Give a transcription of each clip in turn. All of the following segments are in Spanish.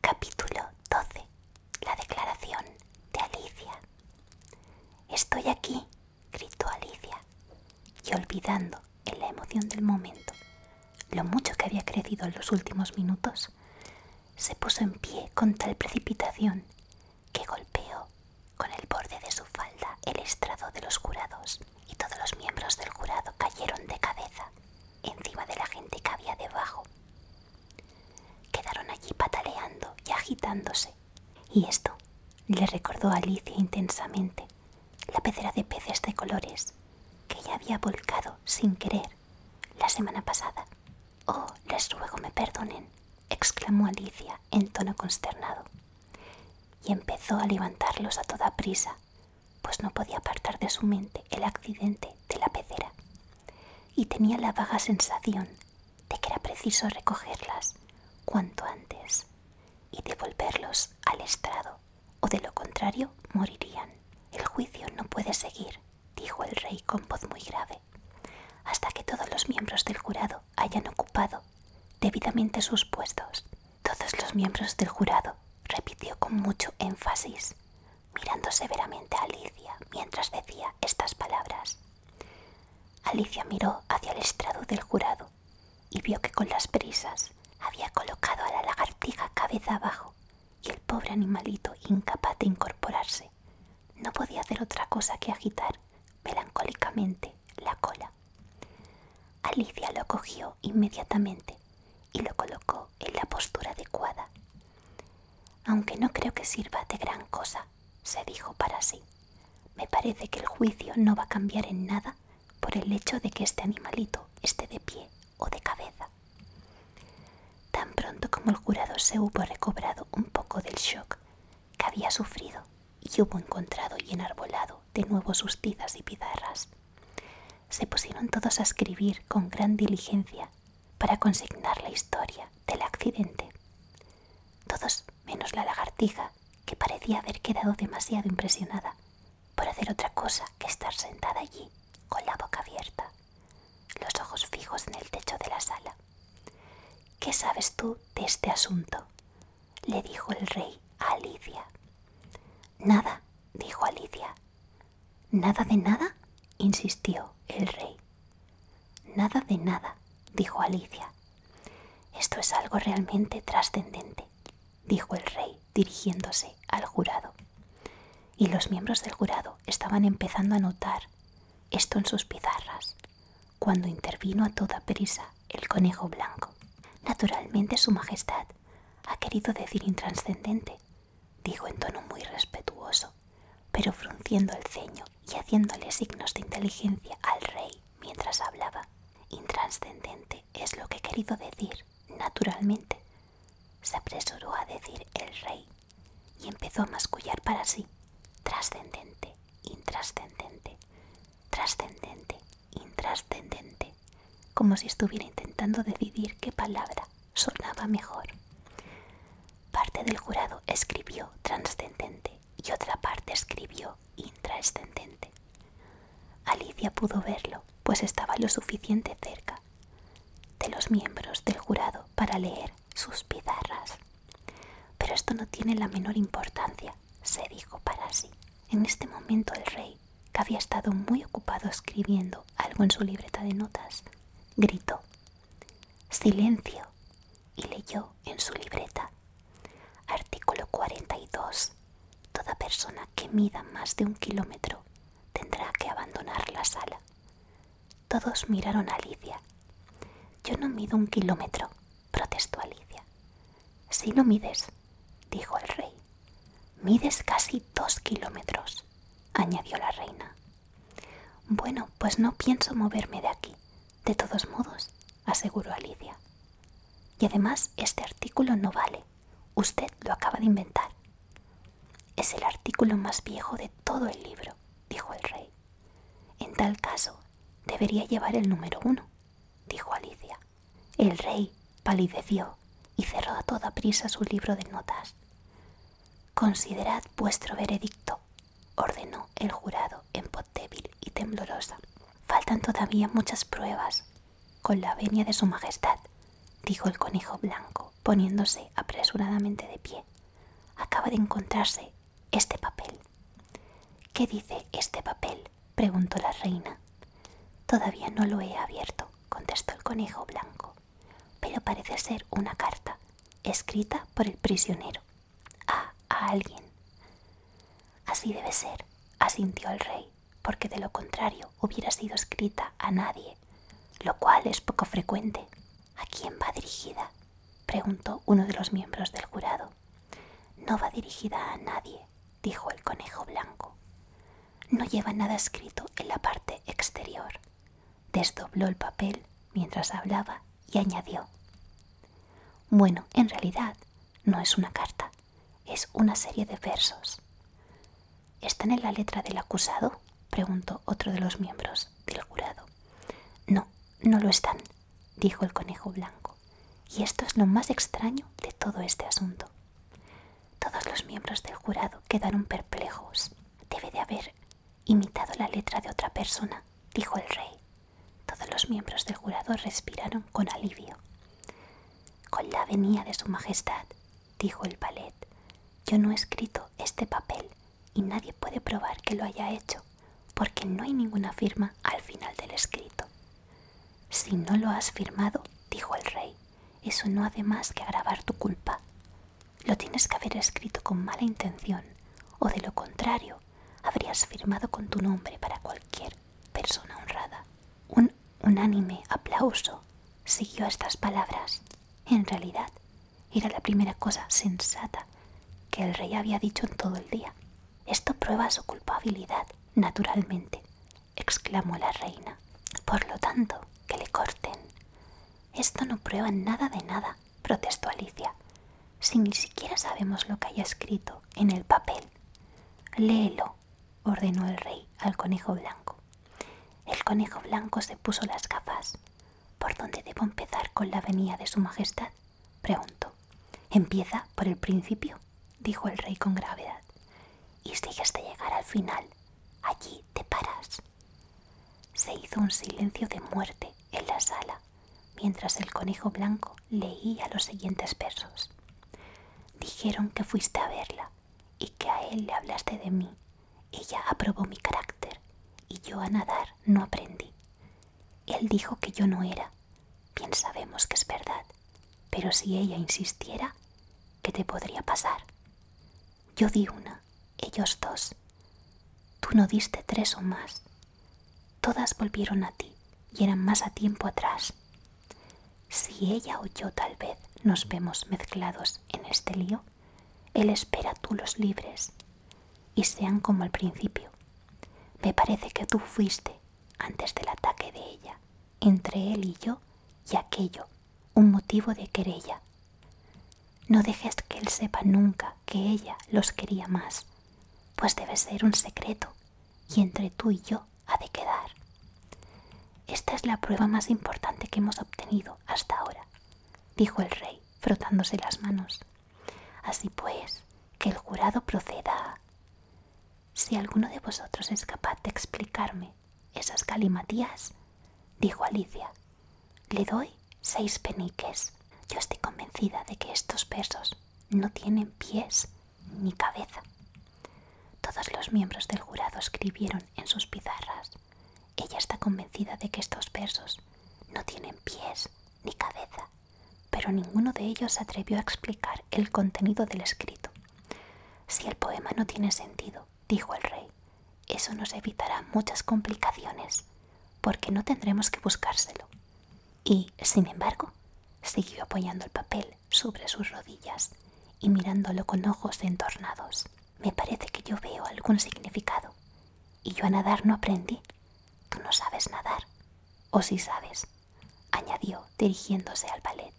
Capítulo 12. La declaración de Alicia. Estoy aquí, gritó Alicia, y olvidando en la emoción del momento lo mucho que había crecido en los últimos minutos, se puso en pie con tal precipitación que golpeó con el borde de su falda el estrado de los jurados y todos los miembros del jurado cayeron de cabeza encima de la gente que había debajo. Quedaron allí pataleando y agitándose, y esto le recordó a Alicia intensamente la pecera de peces de colores que ella había volcado sin querer la semana pasada. Oh, les ruego me perdonen, exclamó Alicia en tono consternado, y empezó a levantarlos a toda prisa, pues no podía apartar de su mente el accidente de la pecera y tenía la vaga sensación de que era preciso recogerlas cuanto antes y devolverlos al estrado, o de lo contrario morirían. El juicio no puede seguir, dijo el rey con voz muy grave, hasta que todos los miembros del jurado hayan ocupado debidamente sus puestos. Todos los miembros del jurado, repitió con mucho énfasis, mirando severamente a Alicia mientras decía estas palabras. Alicia miró hacia el estrado del jurado y vio que con las prisas había colocado a la lagartija cabeza abajo y el pobre animalito, incapaz de incorporarse, no podía hacer otra cosa que agitar melancólicamente la cola. Alicia lo cogió inmediatamente y lo colocó en la postura adecuada. Aunque no creo que sirva de gran cosa, se dijo para sí. Me parece que el juicio no va a cambiar en nada por el hecho de que este animalito esté de pie o de cabeza. Tan pronto como el jurado se hubo recobrado un poco del shock que había sufrido y hubo encontrado y enarbolado de nuevo sus tizas y pizarras, se pusieron todos a escribir con gran diligencia para consignar la historia del accidente. Todos menos la lagartija, que parecía haber quedado demasiado impresionada por hacer otra cosa que estar sentada allí, con la boca abierta, los ojos fijos en el techo de la sala. ¿Qué sabes tú de este asunto? le dijo el rey a Alicia. Nada, dijo Alicia, ¿Nada de nada? insistió el rey. Nada de nada, dijo Alicia. Esto es algo realmente trascendente, dijo el rey, dirigiéndose al jurado. Y los miembros del jurado estaban empezando a notar esto en sus pizarras, cuando intervino a toda prisa el conejo blanco. Naturalmente, Su Majestad ha querido decir intranscendente, dijo en tono muy respetuoso, pero frunciendo el ceño y haciéndole signos de inteligencia al rey mientras hablaba. Intranscendente es lo que he querido decir, naturalmente, se apresuró a decir el rey y empezó a mascullar para sí, trascendente, intrascendente, trascendente, intrascendente, como si estuviera intentando decidir qué palabra sonaba mejor. Parte del jurado escribió trascendente y otra parte escribió intrascendente. Alicia pudo verlo, pues estaba lo suficiente cerca de los miembros del jurado para leer sus pizarras. Pero esto no tiene la menor importancia, se dijo para sí. En este momento el rey, que había estado muy ocupado escribiendo algo en su libreta de notas, gritó. Silencio. Y leyó en su libreta. Artículo 42. Toda persona que mida más de un kilómetro tendrá que abandonar la sala. Todos miraron a Alicia. Yo no mido un kilómetro, protestó Alicia. Si no mides, dijo el rey, mides casi dos kilómetros añadió la reina. Bueno, pues no pienso moverme de aquí, de todos modos, aseguró Alicia. Y además este artículo no vale. Usted lo acaba de inventar. Es el artículo más viejo de todo el libro, dijo el rey. En tal caso, debería llevar el número uno, dijo Alicia. El rey palideció y cerró a toda prisa su libro de notas. Considerad vuestro veredicto, ordenó el jurado en voz débil y temblorosa. Faltan todavía muchas pruebas. Con la venia de su Majestad, dijo el conejo blanco, poniéndose apresuradamente de pie. Acaba de encontrarse este papel. ¿Qué dice este papel? preguntó la reina. Todavía no lo he abierto, contestó el conejo blanco pero parece ser una carta escrita por el prisionero a, alguien. Así debe ser, asintió el rey, porque de lo contrario hubiera sido escrita a nadie, lo cual es poco frecuente. ¿A quién va dirigida? preguntó uno de los miembros del jurado. No va dirigida a nadie, dijo el conejo blanco no lleva nada escrito en la parte exterior. Desdobló el papel mientras hablaba y añadió. Bueno, en realidad no es una carta, es una serie de versos. ¿Están en la letra del acusado? preguntó otro de los miembros del jurado. No, no lo están, dijo el conejo blanco. Y esto es lo más extraño de todo este asunto. Todos los miembros del jurado quedaron perplejos. Debe de haber imitado la letra de otra persona, dijo el rey. Todos los miembros del jurado respiraron con alivio. Con la venía de su majestad, dijo el palet, yo no he escrito este papel y nadie puede probar que lo haya hecho, porque no hay ninguna firma al final del escrito. Si no lo has firmado, dijo el rey, eso no hace más que agravar tu culpa. Lo tienes que haber escrito con mala intención, o de lo contrario, habrías firmado con tu nombre para cualquier persona honrada. Un unánime aplauso siguió a estas palabras. En realidad, era la primera cosa sensata que el rey había dicho en todo el día. Esto prueba su culpabilidad, naturalmente, exclamó la reina. Por lo tanto, que le corten. Esto no prueba nada de nada, protestó Alicia. Si ni siquiera sabemos lo que haya escrito en el papel. Léelo, ordenó el rey al conejo blanco. El conejo blanco se puso las gafas. ¿Por dónde debo empezar con la venida de Su Majestad? preguntó. Empieza por el principio, dijo el rey con gravedad. Y sigues de llegar al final. Allí te paras. Se hizo un silencio de muerte en la sala mientras el conejo blanco leía los siguientes versos. Dijeron que fuiste a verla y que a él le hablaste de mí. Ella aprobó mi carácter y yo a nadar no aprendí. Él dijo que yo no era. Bien sabemos que es verdad, pero si ella insistiera, ¿qué te podría pasar? Yo di una ellos dos. Tú no diste tres o más. Todas volvieron a ti y eran más a tiempo atrás. Si ella o yo tal vez nos vemos mezclados en este lío, él espera tú los libres y sean como al principio. Me parece que tú fuiste, antes del ataque de ella, entre él y yo y aquello un motivo de querella. No dejes que él sepa nunca que ella los quería más, pues debe ser un secreto y entre tú y yo ha de quedar. Esta es la prueba más importante que hemos obtenido hasta ahora, dijo el rey, frotándose las manos. Así pues, que el jurado proceda Si alguno de vosotros es capaz de explicarme esas calimatías, dijo Alicia. Le doy seis peniques. Yo estoy convencida de que estos versos no tienen pies ni cabeza. Todos los miembros del jurado escribieron en sus pizarras. Ella está convencida de que estos versos no tienen pies ni cabeza, pero ninguno de ellos atrevió a explicar el contenido del escrito. Si el poema no tiene sentido, dijo el rey, eso nos evitará muchas complicaciones, porque no tendremos que buscárselo. Y, sin embargo, siguió apoyando el papel sobre sus rodillas y mirándolo con ojos entornados. Me parece que yo veo algún significado. Y yo a nadar no aprendí. Tú no sabes nadar. O si sabes, añadió dirigiéndose al ballet.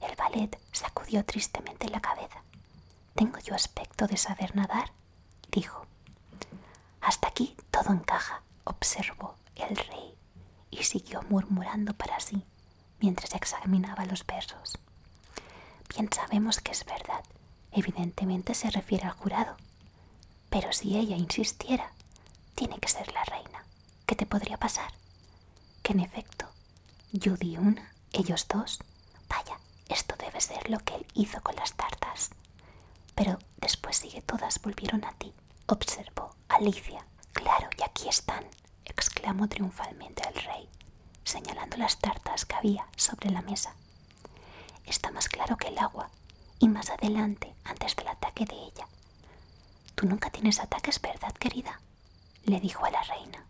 El ballet sacudió tristemente la cabeza. ¿Tengo yo aspecto de saber nadar? dijo. Hasta aquí todo encaja, observó el rey y siguió murmurando para sí mientras examinaba los versos. Bien sabemos que es verdad, evidentemente se refiere al jurado. Pero si ella insistiera, tiene que ser la reina. ¿Qué te podría pasar? Que en efecto, yo di una ellos dos. Vaya, esto debe ser lo que él hizo con las tartas. Pero después sigue todas volvieron a ti, observó Alicia. Claro, y aquí están, exclamó triunfalmente el rey, señalando las tartas que había sobre la mesa. Está más claro que el agua, y más adelante, antes del ataque de ella. Tú nunca tienes ataques, ¿verdad, querida? le dijo a la reina.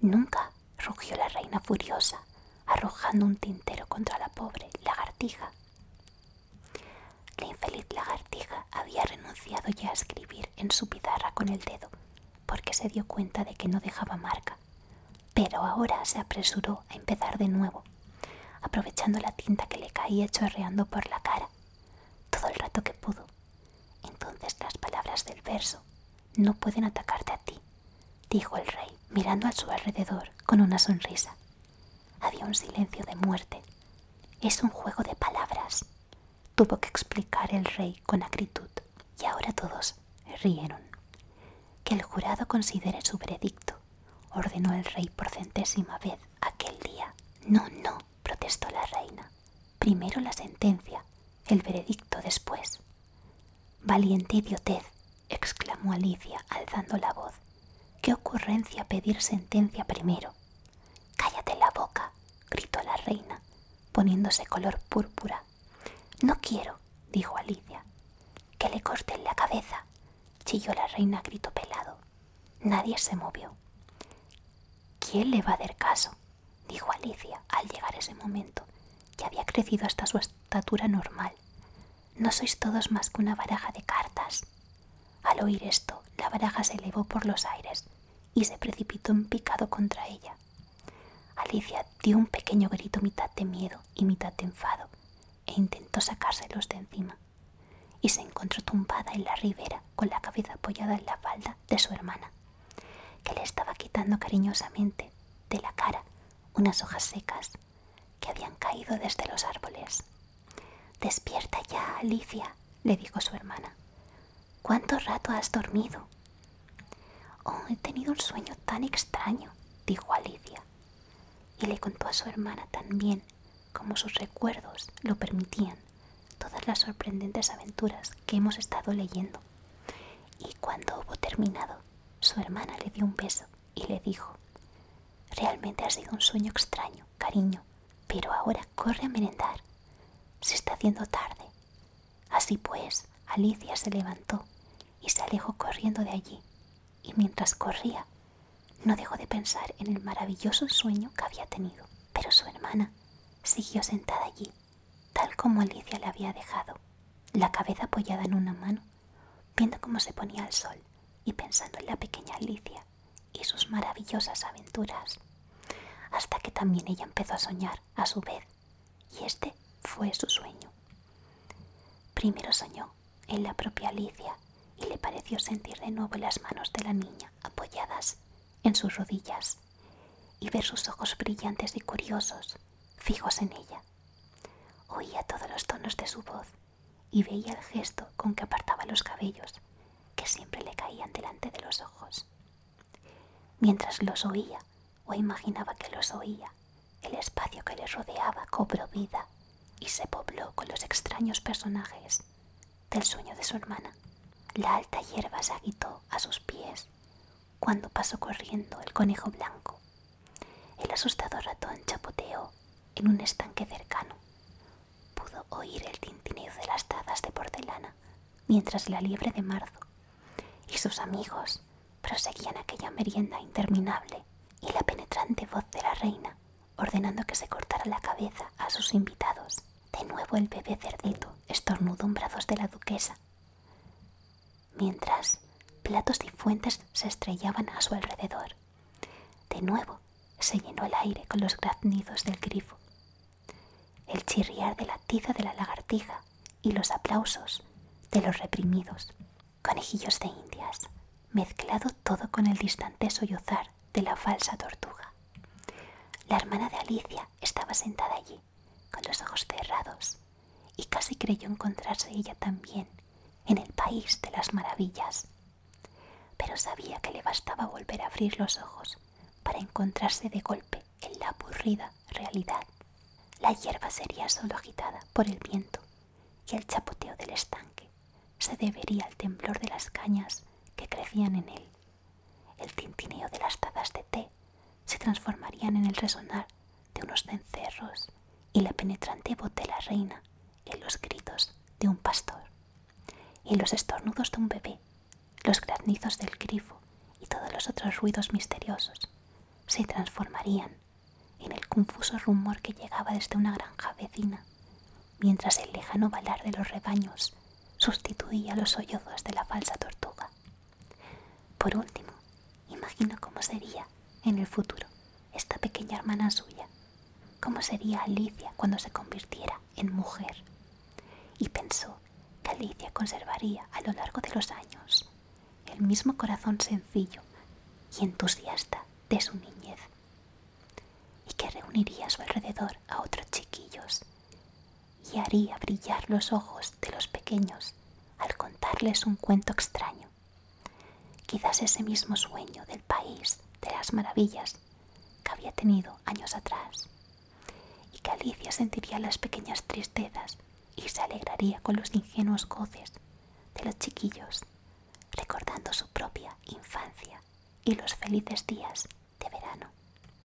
Nunca, rugió la reina furiosa, arrojando un tintero contra la pobre lagartija. La infeliz lagartija había renunciado ya a escribir en su pizarra con el dedo, porque se dio cuenta de que no dejaba marca, pero ahora se apresuró a empezar de nuevo, aprovechando la tinta que le caía chorreando por la cara, todo el rato que pudo. Entonces las palabras del verso no pueden atacarte a ti, dijo el rey, mirando a su alrededor con una sonrisa. Había un silencio de muerte. Es un juego de palabras, tuvo que explicar el rey con acritud. Y ahora todos rieron. Que el jurado considere su veredicto, ordenó el rey por centésima vez aquel día. No, no, protestó la reina. Primero la sentencia el veredicto después. Valiente idiotez, exclamó Alicia alzando la voz. ¿Qué ocurrencia pedir sentencia primero? Cállate la boca, gritó la reina, poniéndose color púrpura. No quiero, dijo Alicia. Que le corten la cabeza, chilló la reina grito pelado. Nadie se movió. ¿Quién le va a dar caso? dijo Alicia al llegar ese momento, que había crecido hasta su estatura normal. No sois todos más que una baraja de cartas. Al oír esto, la baraja se elevó por los aires y se precipitó en picado contra ella. Alicia dio un pequeño grito mitad de miedo y mitad de enfado e intentó sacárselos de encima. Y se encontró tumbada en la ribera con la cabeza apoyada en la falda de su hermana que le estaba quitando cariñosamente de la cara unas hojas secas que habían caído desde los árboles. Despierta ya, Alicia, le dijo su hermana. ¿Cuánto rato has dormido? Oh, he tenido un sueño tan extraño, dijo Alicia, y le contó a su hermana tan bien como sus recuerdos lo permitían todas las sorprendentes aventuras que hemos estado leyendo. Y cuando hubo terminado, su hermana le dio un beso y le dijo, Realmente ha sido un sueño extraño, cariño, pero ahora corre a merendar. Se está haciendo tarde. Así pues, Alicia se levantó y se alejó corriendo de allí, y mientras corría, no dejó de pensar en el maravilloso sueño que había tenido. Pero su hermana siguió sentada allí, tal como Alicia la había dejado, la cabeza apoyada en una mano, viendo cómo se ponía el sol y pensando en la pequeña Alicia y sus maravillosas aventuras, hasta que también ella empezó a soñar a su vez, y este fue su sueño. Primero soñó en la propia Alicia y le pareció sentir de nuevo las manos de la niña apoyadas en sus rodillas y ver sus ojos brillantes y curiosos fijos en ella. Oía todos los tonos de su voz y veía el gesto con que apartaba los cabellos, que siempre le caían delante de los ojos. Mientras los oía, o imaginaba que los oía, el espacio que les rodeaba cobró vida y se pobló con los extraños personajes del sueño de su hermana. La alta hierba se agitó a sus pies cuando pasó corriendo el conejo blanco. El asustado ratón chapoteó en un estanque cercano. Pudo oír el tintineo de las tazas de porcelana mientras la liebre de marzo y sus amigos proseguían aquella merienda interminable y la penetrante voz de la reina ordenando que se cortara la cabeza a sus invitados. De nuevo el bebé cerdito estornudó en brazos de la duquesa, mientras platos y fuentes se estrellaban a su alrededor. De nuevo se llenó el aire con los graznidos del grifo, el chirriar de la tiza de la lagartija y los aplausos de los reprimidos. Conejillos de indias, mezclado todo con el distante sollozar de la falsa tortuga. La hermana de Alicia estaba sentada allí, con los ojos cerrados, y casi creyó encontrarse ella también en el país de las maravillas. Pero sabía que le bastaba volver a abrir los ojos para encontrarse de golpe en la aburrida realidad. La hierba sería solo agitada por el viento y el chapoteo del estanque se debería al temblor de las cañas que crecían en él. El tintineo de las tazas de té se transformarían en el resonar de unos cencerros y la penetrante voz de la reina en los gritos de un pastor, y los estornudos de un bebé, los graznizos del grifo y todos los otros ruidos misteriosos se transformarían en el confuso rumor que llegaba desde una granja vecina, mientras el lejano balar de los rebaños sustituía los sollozos de la falsa tortuga. Por último, imagino cómo sería en el futuro esta pequeña hermana suya, cómo sería Alicia cuando se convirtiera en mujer. Y pensó que Alicia conservaría a lo largo de los años el mismo corazón sencillo y entusiasta de su niñez y que reuniría a su alrededor a otros chiquillos y haría brillar los ojos de los pequeños al contarles un cuento extraño. Quizás ese mismo sueño del país de las maravillas que había tenido años atrás, y que Alicia sentiría las pequeñas tristezas y se alegraría con los ingenuos goces de los chiquillos, recordando su propia infancia y los felices días de verano.